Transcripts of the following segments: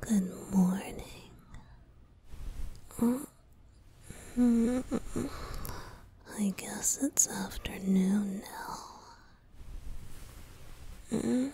Good morning. I guess it's afternoon now. Mm.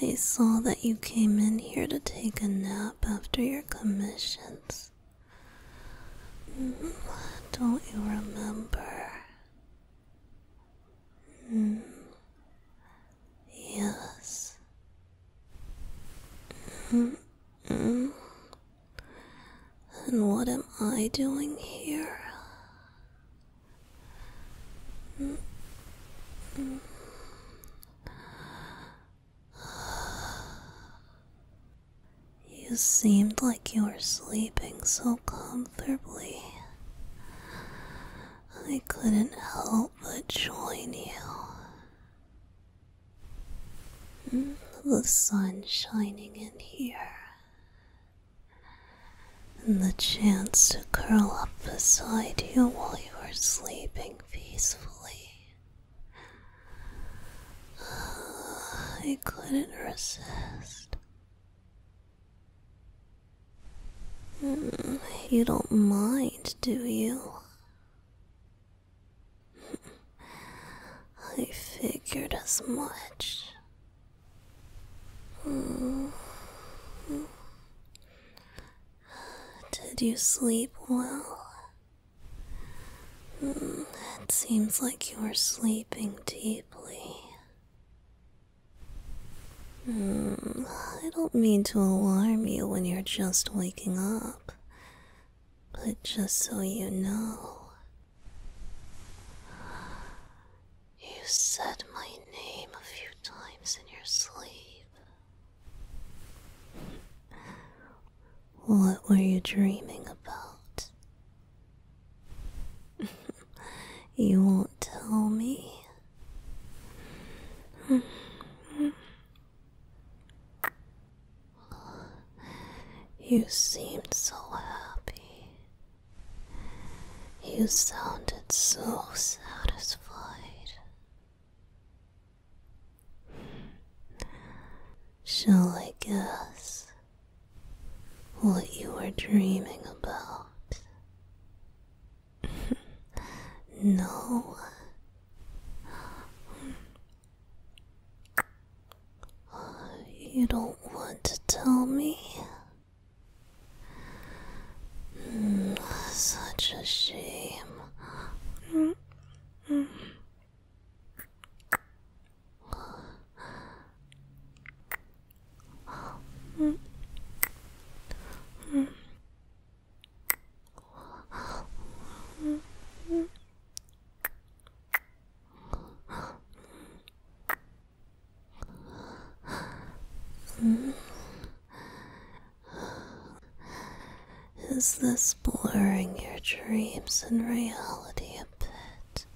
I saw that you came in here to take a nap after your commissions. Mm. Don't you remember? Mm. Yes. And what am I doing here? You seemed like you were sleeping so comfortably. I couldn't help but join you. Hmm? The sun shining in here and the chance to curl up beside you while you are sleeping peacefully. Ah, I couldn't resist. Mm, you don't mind, do you? I figured as much. Mm-hmm. Did you sleep well? Mm, it seems like you were sleeping deeply. Mm, I don't mean to alarm you when you're just waking up, but just so you know, you said my name a few times in your sleep. What were you dreaming about? you won't tell me. You seemed so happy. You sounded so satisfied. Shall I guess what you were dreaming about? no. You don't want to tell me? Mm, such a shame. Mm -hmm. Mm -hmm. Is this blurring your dreams and reality a bit?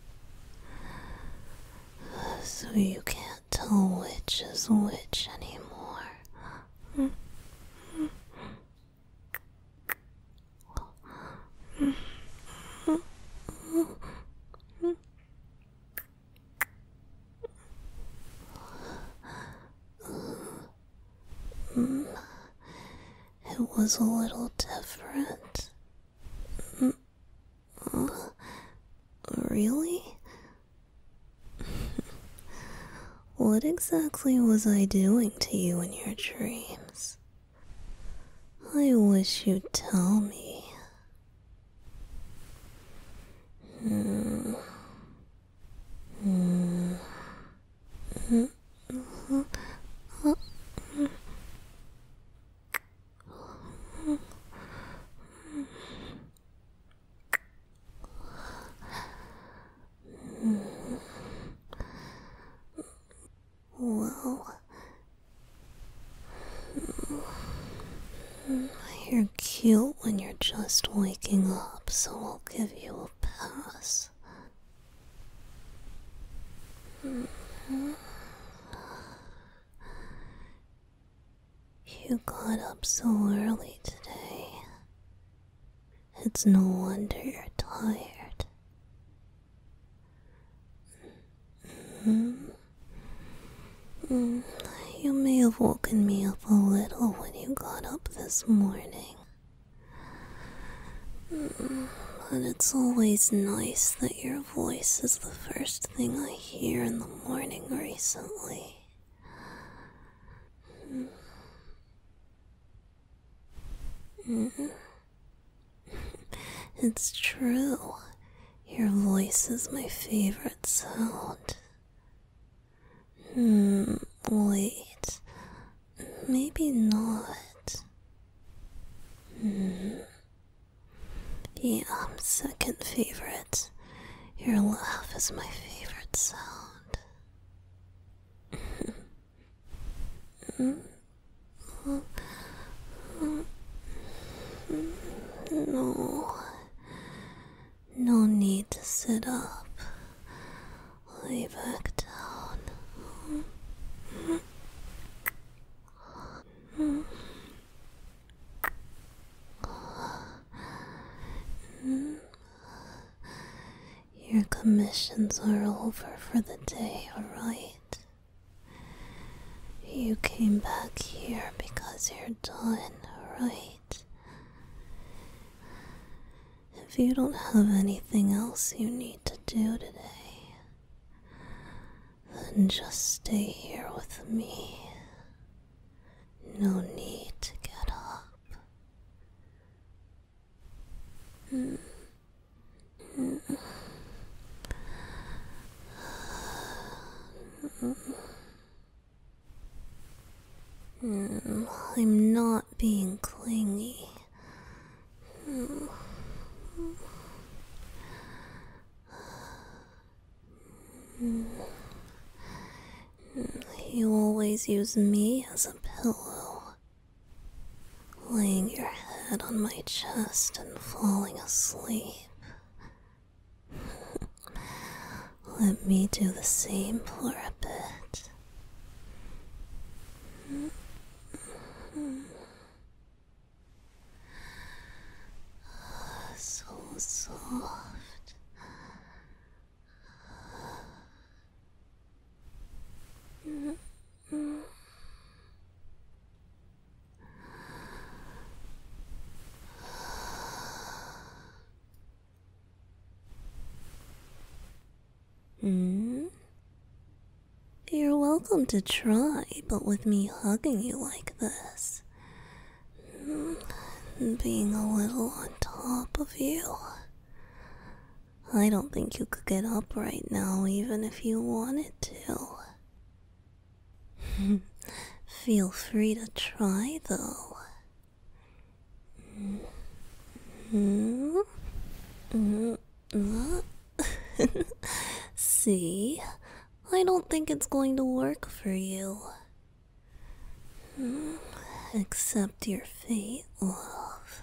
So you can't tell which is which anymore. It was a little different. Really? what exactly was I doing to you in your dreams? I wish you'd tell me. Whoa. You're cute when you're just waking up, so I'll give you a pass. You got up so early today. It's no wonder you're tired. You may have woken me up a little when you got up this morning. Mm. But it's always nice that your voice is the first thing I hear in the morning recently. it's true. Your voice is my favorite sound. Hmm, wait. Maybe not. Hmm. Yeah, second favorite. Your laugh is my favorite sound. No. No need to sit up. Lay back down. Your commissions are over for the day, alright? You came back here because you're done, right? If you don't have anything else you need to do today, then just stay here with me. No need to get up. Mm. I'm not being clingy. You always use me as a pillow laying your head on my chest and falling asleep. Let me do the same for a bit. So soft. Hmm? You're welcome to try, but with me hugging you like this, hmm? being a little on top of you, I don't think you could get up right now, even if you wanted to. Feel free to try, though. Mm -hmm. Mm -hmm. See? I don't think it's going to work for you. Accept your fate, love.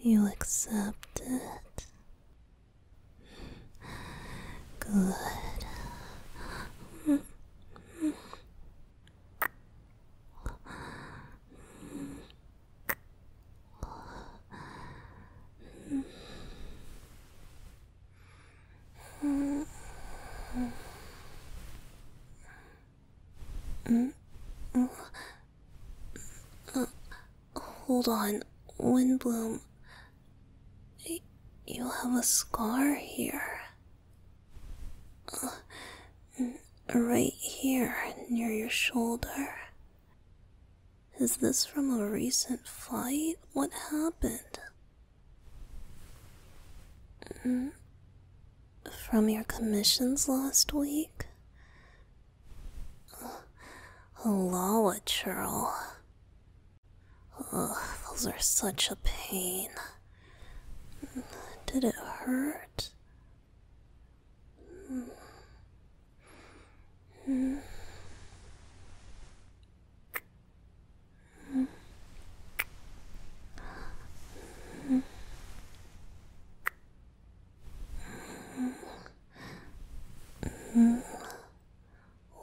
You accept it? Good. Mm-hmm hold on, Windbloom. You have a scar here. Uh, right here, near your shoulder. Is this from a recent fight? What happened? Mm-hmm. From your commissions last week? Loa churl. those are such a pain. Did it hurt?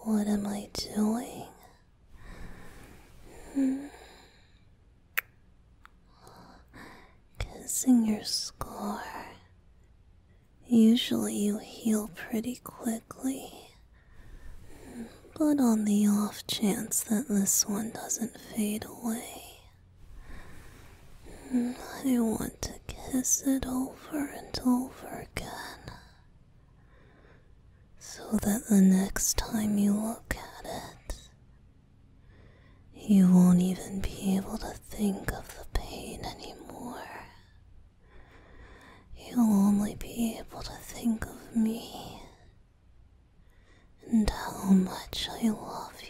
What am I doing? Kissing your scar. Usually you heal pretty quickly. But on the off chance that this one doesn't fade away, I want to kiss it over and over again so that the next time you look at it, you won't even be able to think of the pain anymore. You'll only be able to think of me and how much I love you.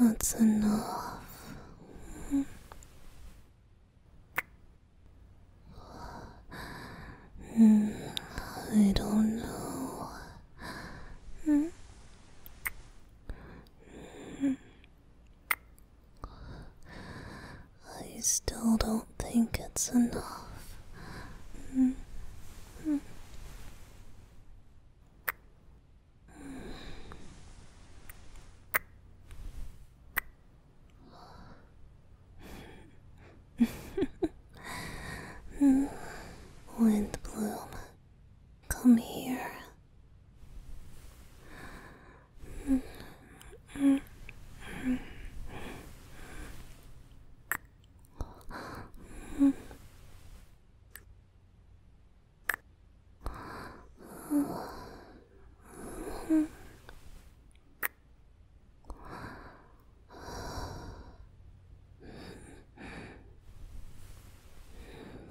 That's enough. Mm, I don't know. Mm. I still don't think it's enough. Mm. Mm. Wind bloom, come here.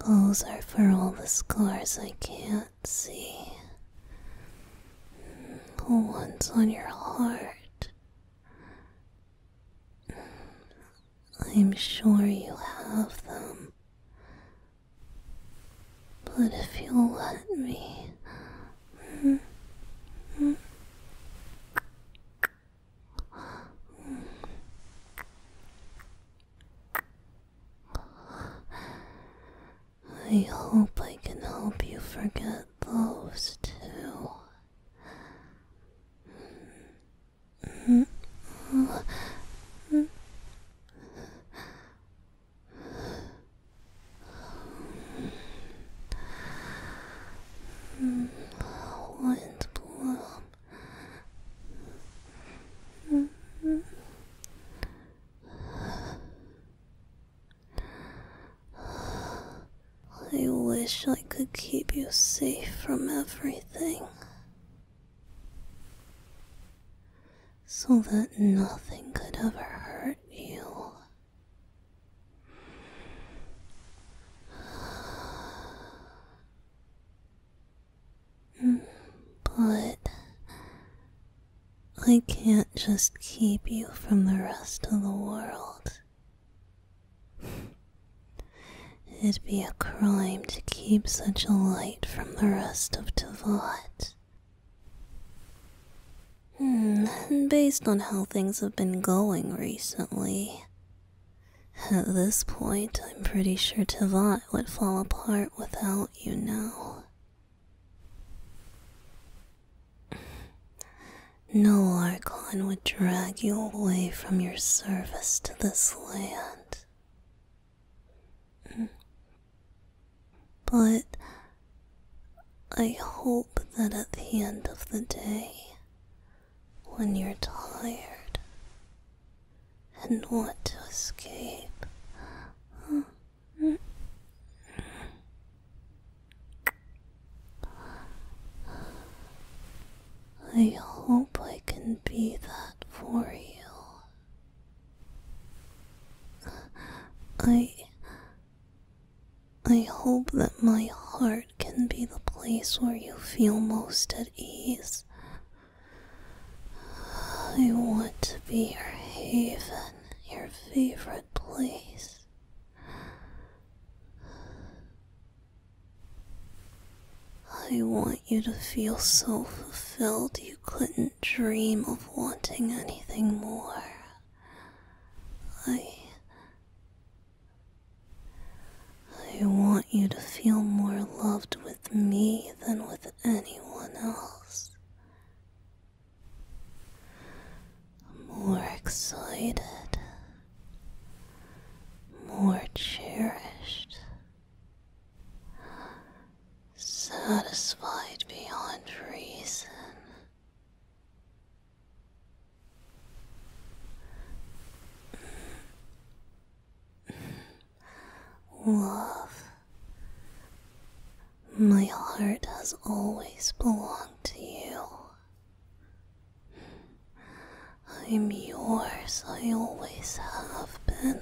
Those are for all the scars I can't see. The ones on your heart. I'm sure you have them. But if you let me, I hope I can help you forget those two. Windbloom. I wish I could keep you safe from everything so that nothing could ever hurt you. Mm, but I can't just keep you from the rest of the world. It'd be a crime to keep such a light from the rest of Tavat. Hmm, based on how things have been going recently, at this point I'm pretty sure Tavat would fall apart without you now. No Archon would drag you away from your service to this land. But I hope that at the end of the day, when you're tired and want to escape, I hope I can be that for you. I. I hope that my heart can be the place where you feel most at ease. I want to be your haven, your favorite place. I want you to feel so fulfilled couldn't dream of wanting anything more. I. I want you to feel more loved with me than with anyone else. More excited, more cherished, satisfied beyond reason. Love, my heart has always belonged to you. I'm yours, I always have been.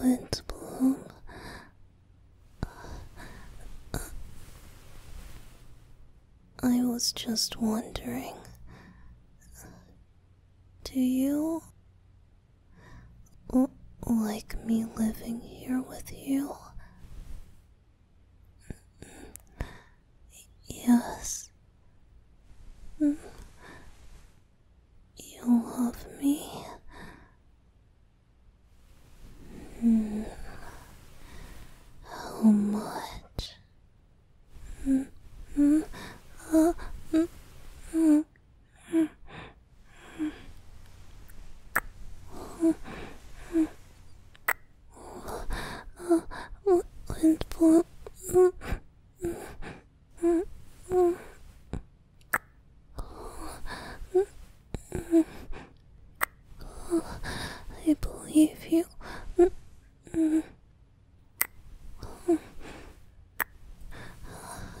Wind bloom. I was just wondering. Do you like me living here with you? Yes. You love me? How much?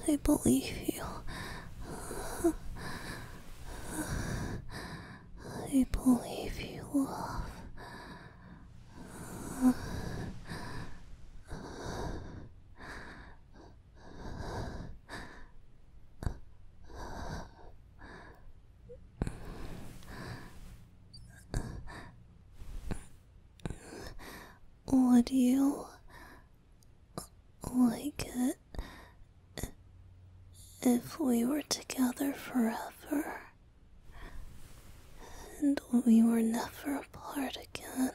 I believe you. I believe you. I believe you love. would you like it if we were together forever and we were never apart again.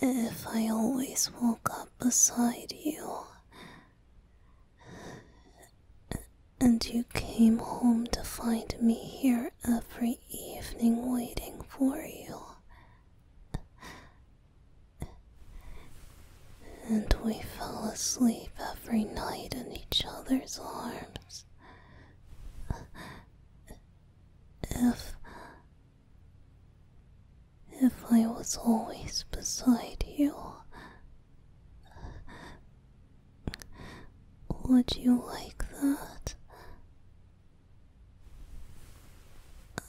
If I always woke up beside you and you came home to find me here every evening waiting for you. And we fell asleep every night in each other's arms. If. If I was always beside you, would you like that?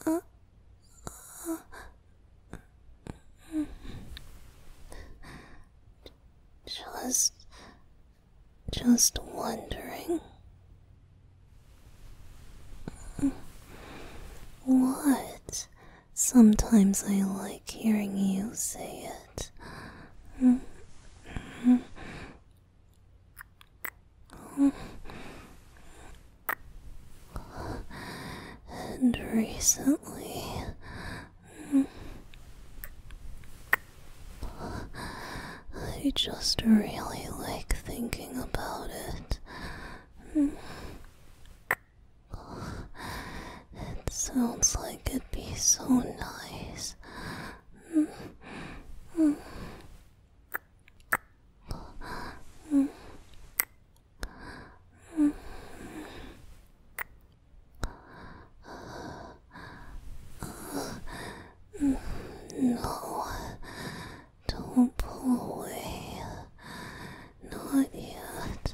Uh, uh, just, just wondering. What? Sometimes I like hearing you say it. And recently, I just really like thinking about it. It sounds like it'd be so nice no, don't pull away. Not yet.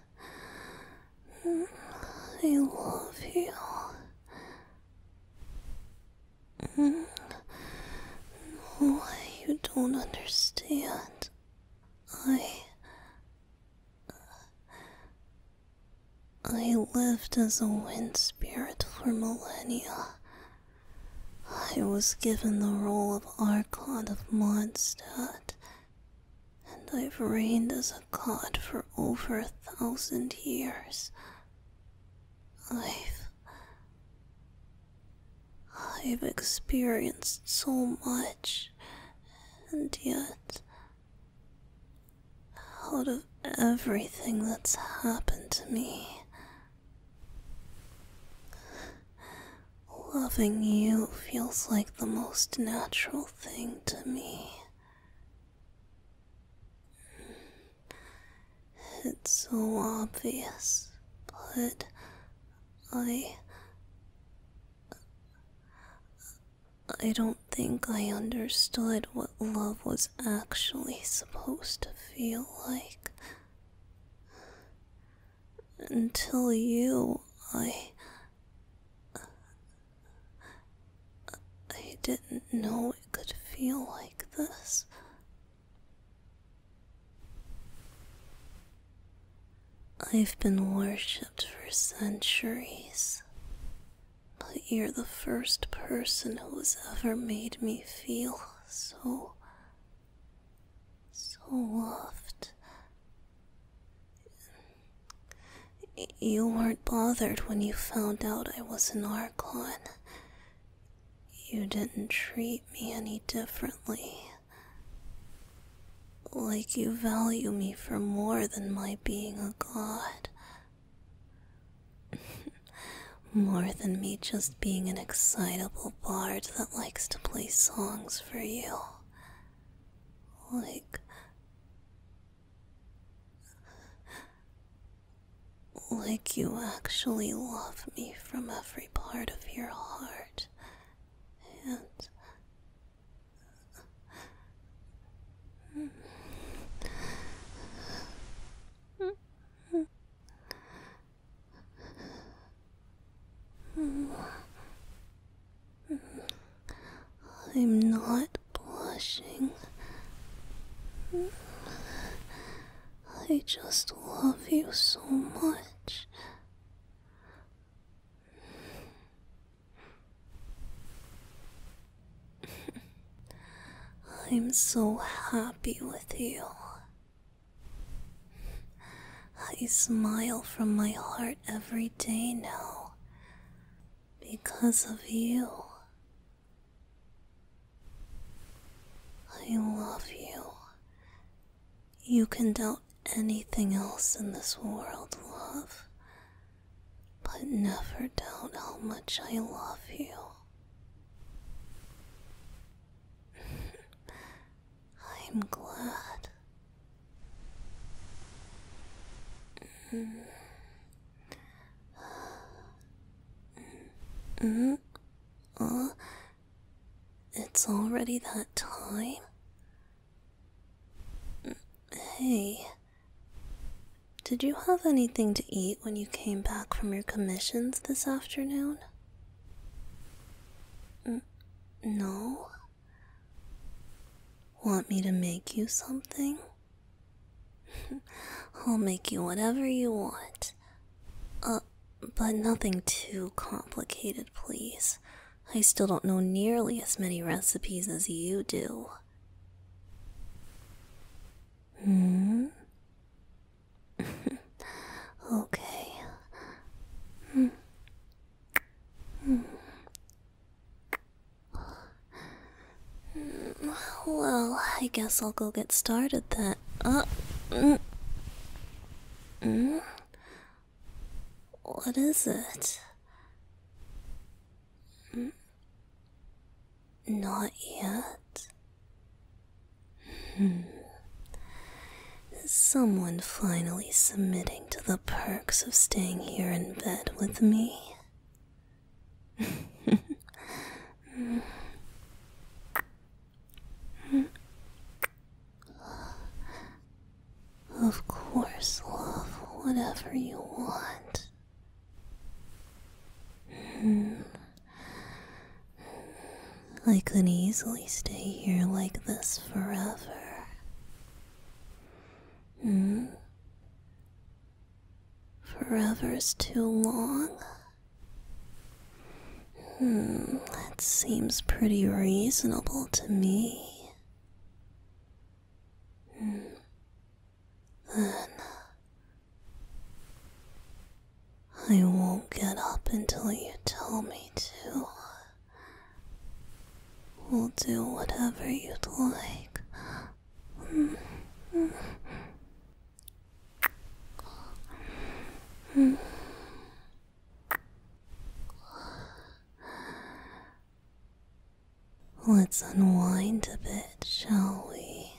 I love you. Mm. Why you don't understand? I. I lived as a wind spirit for millennia. I was given the role of Archon of Mondstadt and I've reigned as a god for over a thousand years. I've. I've experienced so much, and yet, out of everything that's happened to me, loving you feels like the most natural thing to me. It's so obvious, but I. I don't think I understood what love was actually supposed to feel like. Until you, I. I didn't know it could feel like this. I've been worshipped for centuries, but you're the first person who's ever made me feel so. so loved. You weren't bothered when you found out I was an Archon. You didn't treat me any differently. Like you value me for more than my being a god. more than me just being an excitable bard that likes to play songs for you. Like like you actually love me from every part of your heart, and. I'm not blushing. I just love you so much. I'm so happy with you. I smile from my heart every day now because of you. I love you. You can doubt anything else in this world, love, but never doubt how much I love you. I'm glad Mm. Oh, it's already that time. Hey, did you have anything to eat when you came back from your commissions this afternoon? N mm, no? Want me to make you something? I'll make you whatever you want. Uh, but nothing too complicated, please. I still don't know nearly as many recipes as you do. Hmm? okay. Hmm. hmm. Well, I guess I'll go get started then. Uh, mm, mm, what is it? Mm, not yet. Hmm. Someone finally submitting to the perks of staying here in bed with me. Of course, love, whatever you want. I could easily stay here like this forever. Hmm? Forever is too long. Hmm, that seems pretty reasonable to me. Hmm. Then I won't get up until you tell me to. We'll do whatever you'd like. Let's unwind a bit, shall we?